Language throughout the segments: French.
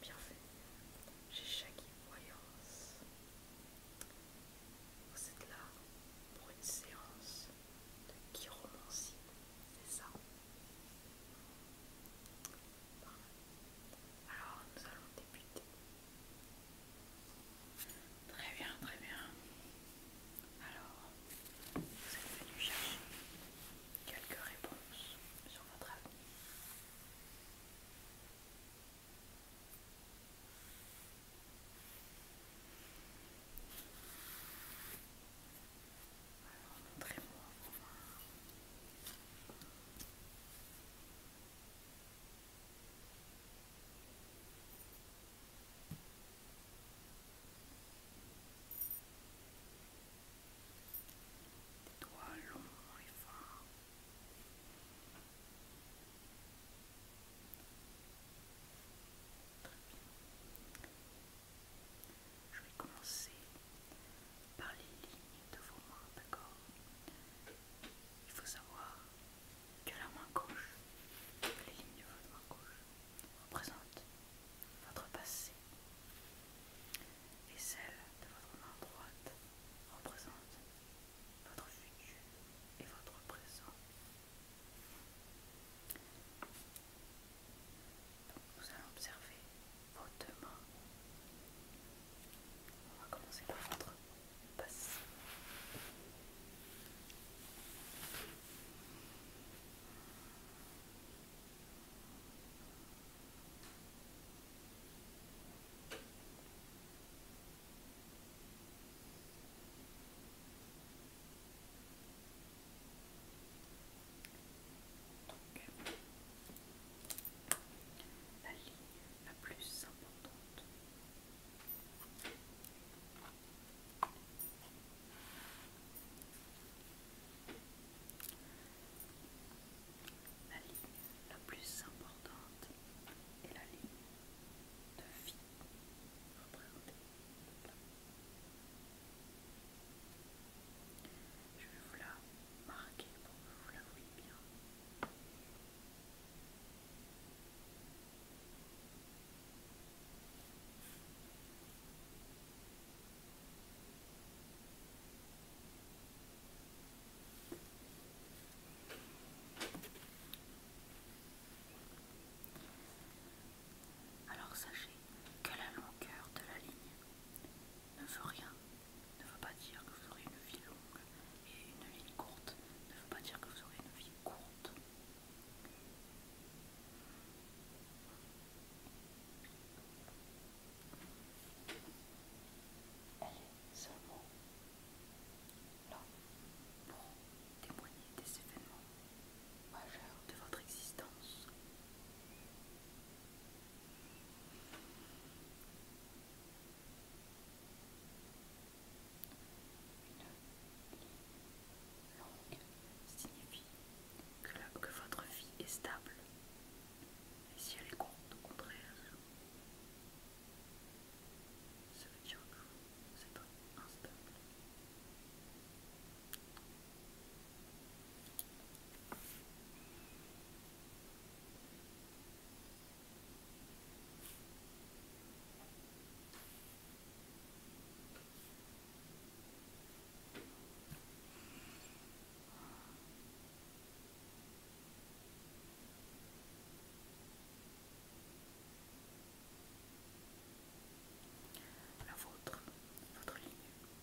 fait, J'ai chaque Voyance. Vous êtes là pour une séance de chiromancie, c'est ça Alors nous allons débuter Très bien, très bien. Alors, vous êtes venu chercher quelques réponses sur votre avis? Des doigts longs et Je vais commencer par les lignes de vos mains, d'accord Il faut savoir que la main gauche, les lignes de votre main gauche, représentent votre passé et celle de votre main droite représente votre futur et votre présent. nous allons observer vos deux On va commencer par votre passe. la ligne la plus importante la ligne la plus importante est la ligne de vie représentée. Je vais vous la marquer pour que vous la voyez bien. Alors sachez que la longueur de la ligne ne veut rien ne veut pas dire que vous aurez une vie longue et une vie courte ne veut pas dire que vous aurez une vie courte. Elle est seulement là pour témoigner des événements majeurs de votre existence. Une longue signifie que, votre vie est stable. Et si elle est courte, au contraire, ça veut dire que c'est pas instable. La vôtre, votre ligne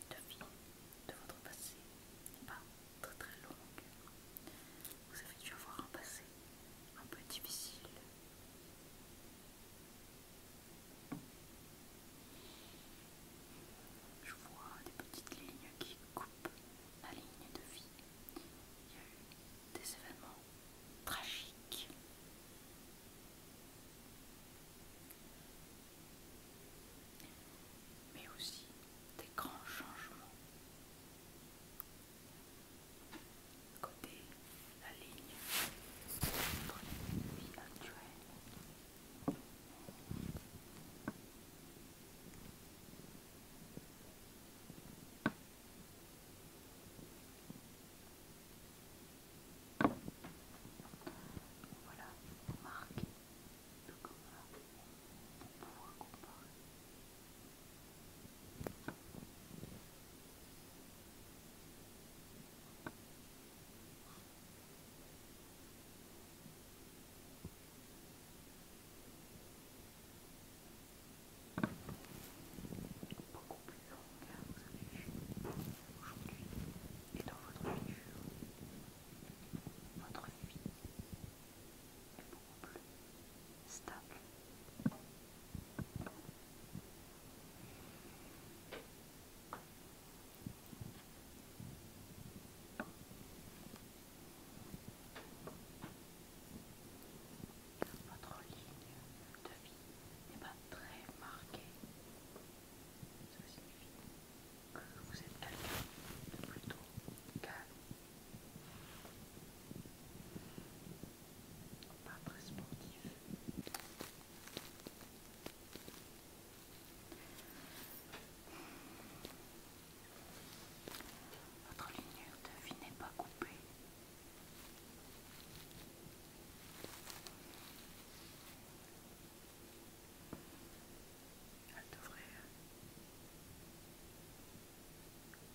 de vie, de votre passé, n'est pas très très longue. Vous avez dû avoir un passé un peu difficile. Je vois des petites lignes qui coupent la ligne de vie. Il y a eu des événements tragiques. Mais aussi des grands changements. Côté la ligne entre les vie actuelle Voilà, marque pour comparer. Beaucoup plus vous aujourd'hui, et dans votre futur, votre vie est plus stable. ligne de vie n'est pas très marquée. Ça signifie vous êtes quelqu'un de plutôt calme, pas très sportif. Votre ligne de vie n'est pas coupée elle devrait euh,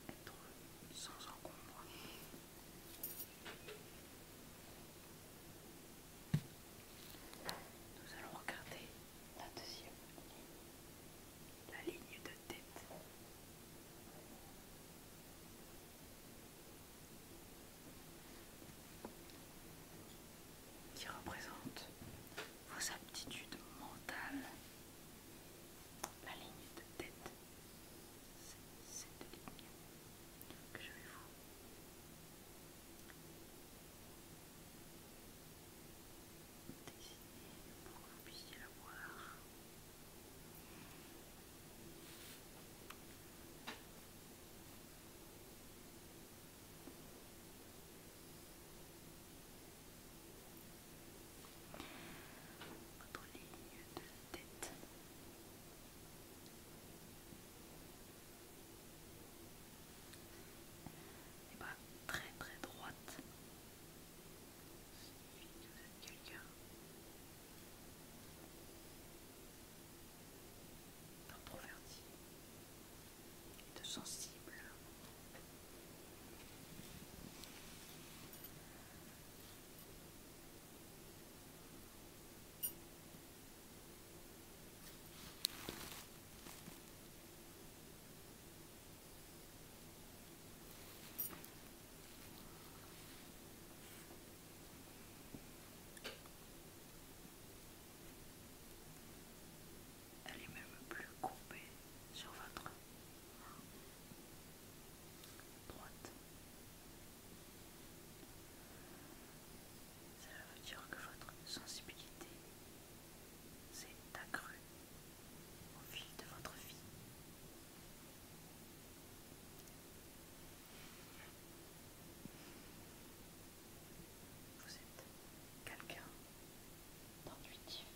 être sans encombre. Nous allons regarder la deuxième la ligne de tête qui représente vos aptitudes mentales. La ligne de tête, c'est cette ligne que je vais vous dessiner pour que vous puissiez la voir. Votre ligne de tête. et eh pas ben, très très droite quelqu'un d'introverti et de sensible. Elle est même plus courbée sur votre droite. Cela veut dire que votre sensibilité s'est accrue au fil de votre vie. Vous êtes quelqu'un d'intuitif.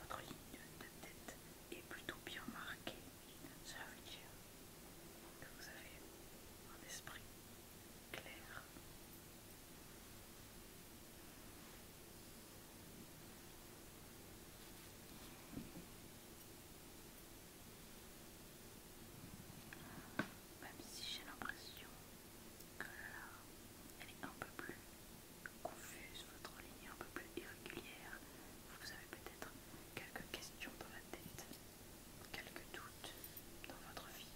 Votre ligne de tête est plutôt bien marquée. veut dire que vous avez un esprit clair. Même si j'ai l'impression que là, elle est un peu plus confuse, votre ligne est un peu plus irrégulière, vous avez peut-être quelques questions dans la tête, quelques doutes dans votre vie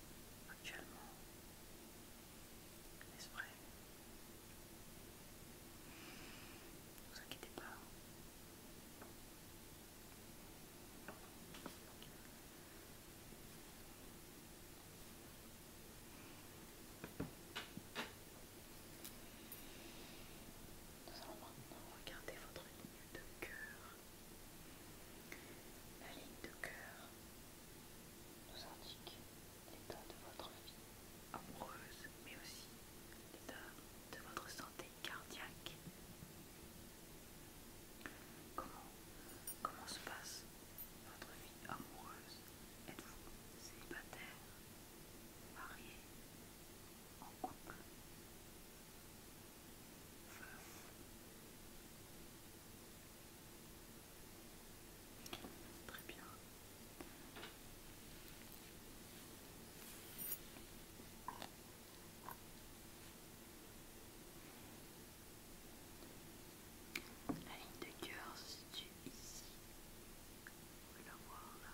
actuellement. L'esprit Ne vous inquiétez pas. Nous allons maintenant regarder votre ligne de cœur. La ligne de cœur nous indique l'état de votre vie amoureuse, mais aussi l'état de votre santé cardiaque. Comment, comment se passe votre vie amoureuse Êtes-vous célibataire, marié, en couple Très bien. La ligne de cœur se situe ici. On pouvez la voir là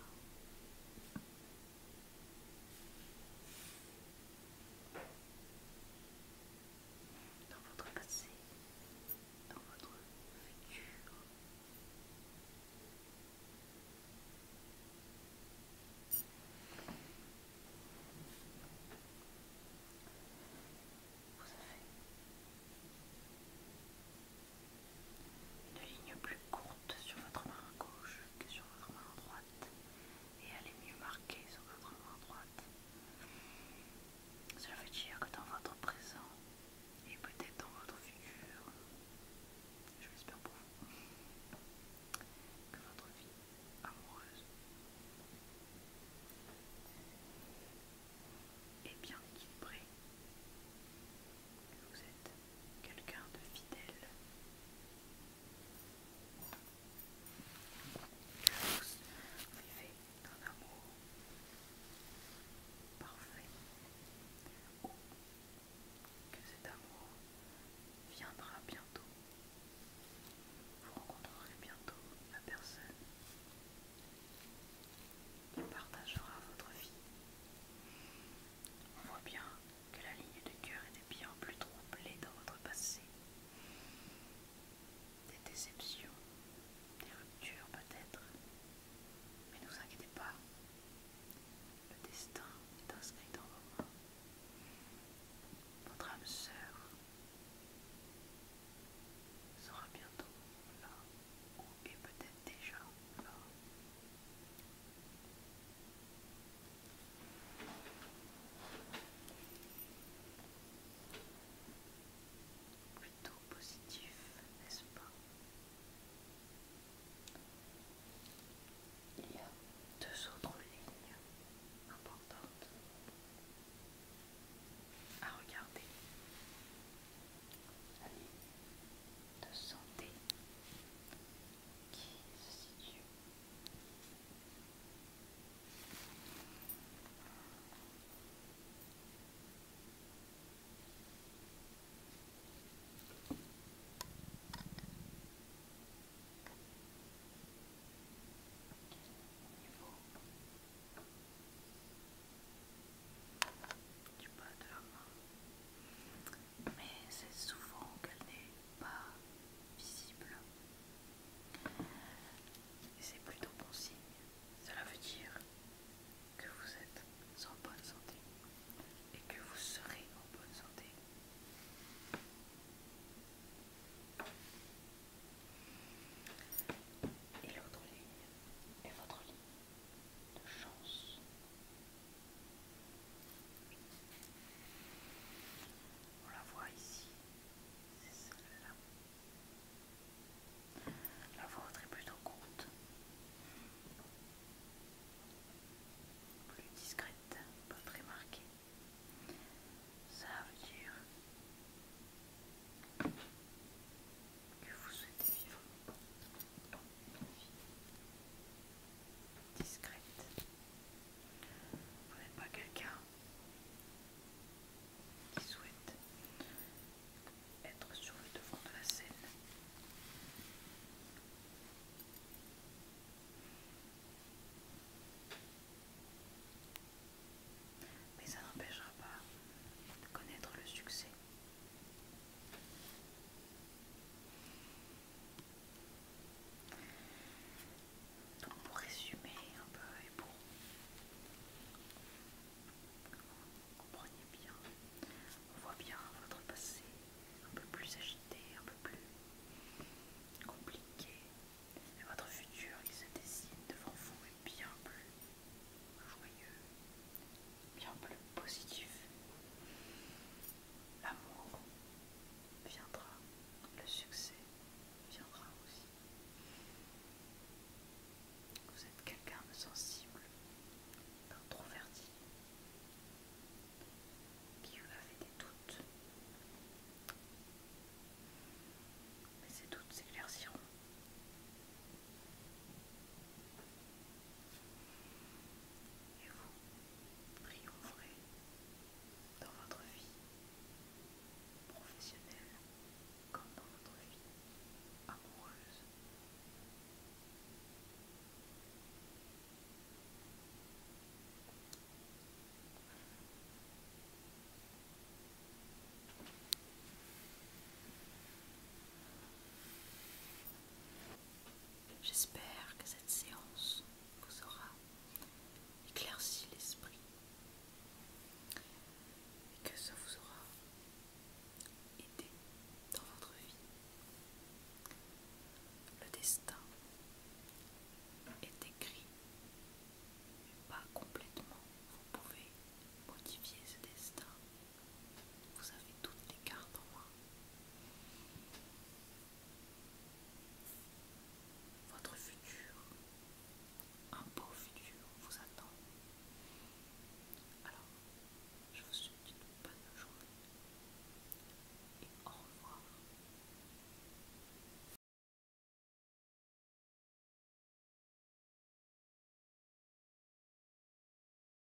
dans votre passé, dans votre futur. Vous avez une ligne plus courte sur votre main gauche que sur votre main droite et elle est mieux marquée sur votre main droite. Cela veut dire que dans votre présent et peut-être dans votre figure je l'espère pour vous, que votre vie amoureuse est bien équilibrée. Vous êtes quelqu'un de fidèle vous vivez d'un amour parfait, ou que cet amour viendra bientôt. Vous rencontrerez bientôt la personne qui partagera votre vie. On voit bien que la ligne de cœur était bien plus troublée dans votre passé. Des déceptions, des ruptures peut-être. Mais ne vous inquiétez pas, le destin est inscrit dans vos mains. Votre âme sœur sera bientôt là, ou est peut-être déjà là. Plutôt positif, n'est-ce pas Il y a deux autres lignes importantes à regarder. La ligne de santé qui se situe au niveau du bas de la main mais c'est souvent au n'est pas visible. C'est plutôt bon signe. Cela veut dire que vous êtes en bonne santé et que vous serez en bonne santé. Et l'autre ligne est votre ligne de chance. On la voit ici, c'est celle-là. La voix est plutôt courte, plus discrète, pas très marquée. Ça veut dire que vous souhaitez vivre une vie discrète vous n'êtes pas quelqu'un qui souhaite être sur le devant de la scène. Mais ça n'empêchera pas de connaître le succès. Donc pour résumer un peu et pour vous compreniez bien, on voit bien votre passé un peu plus agité, un peu plus compliqué. Et votre futur qui se dessine devant vous est bien plus joyeux, bien plus positif. L'amour viendra, le succès viendra aussi. Vous êtes quelqu'un de sensible, d'introverti, qui avait des doutes. Mais ces doutes s'éclairciront. Et vous, triompherez dans votre vie professionnelle comme dans votre vie amoureuse. J'espère que cette séance vous aura éclairci l'esprit et que ça vous aura aidé dans votre vie. Le destin est écrit, mais pas complètement. Vous pouvez modifier ce destin vous avez toutes les cartes en moi Votre futur, un beau futur vous attend. Alors, je vous souhaite une bonne journée et au revoir.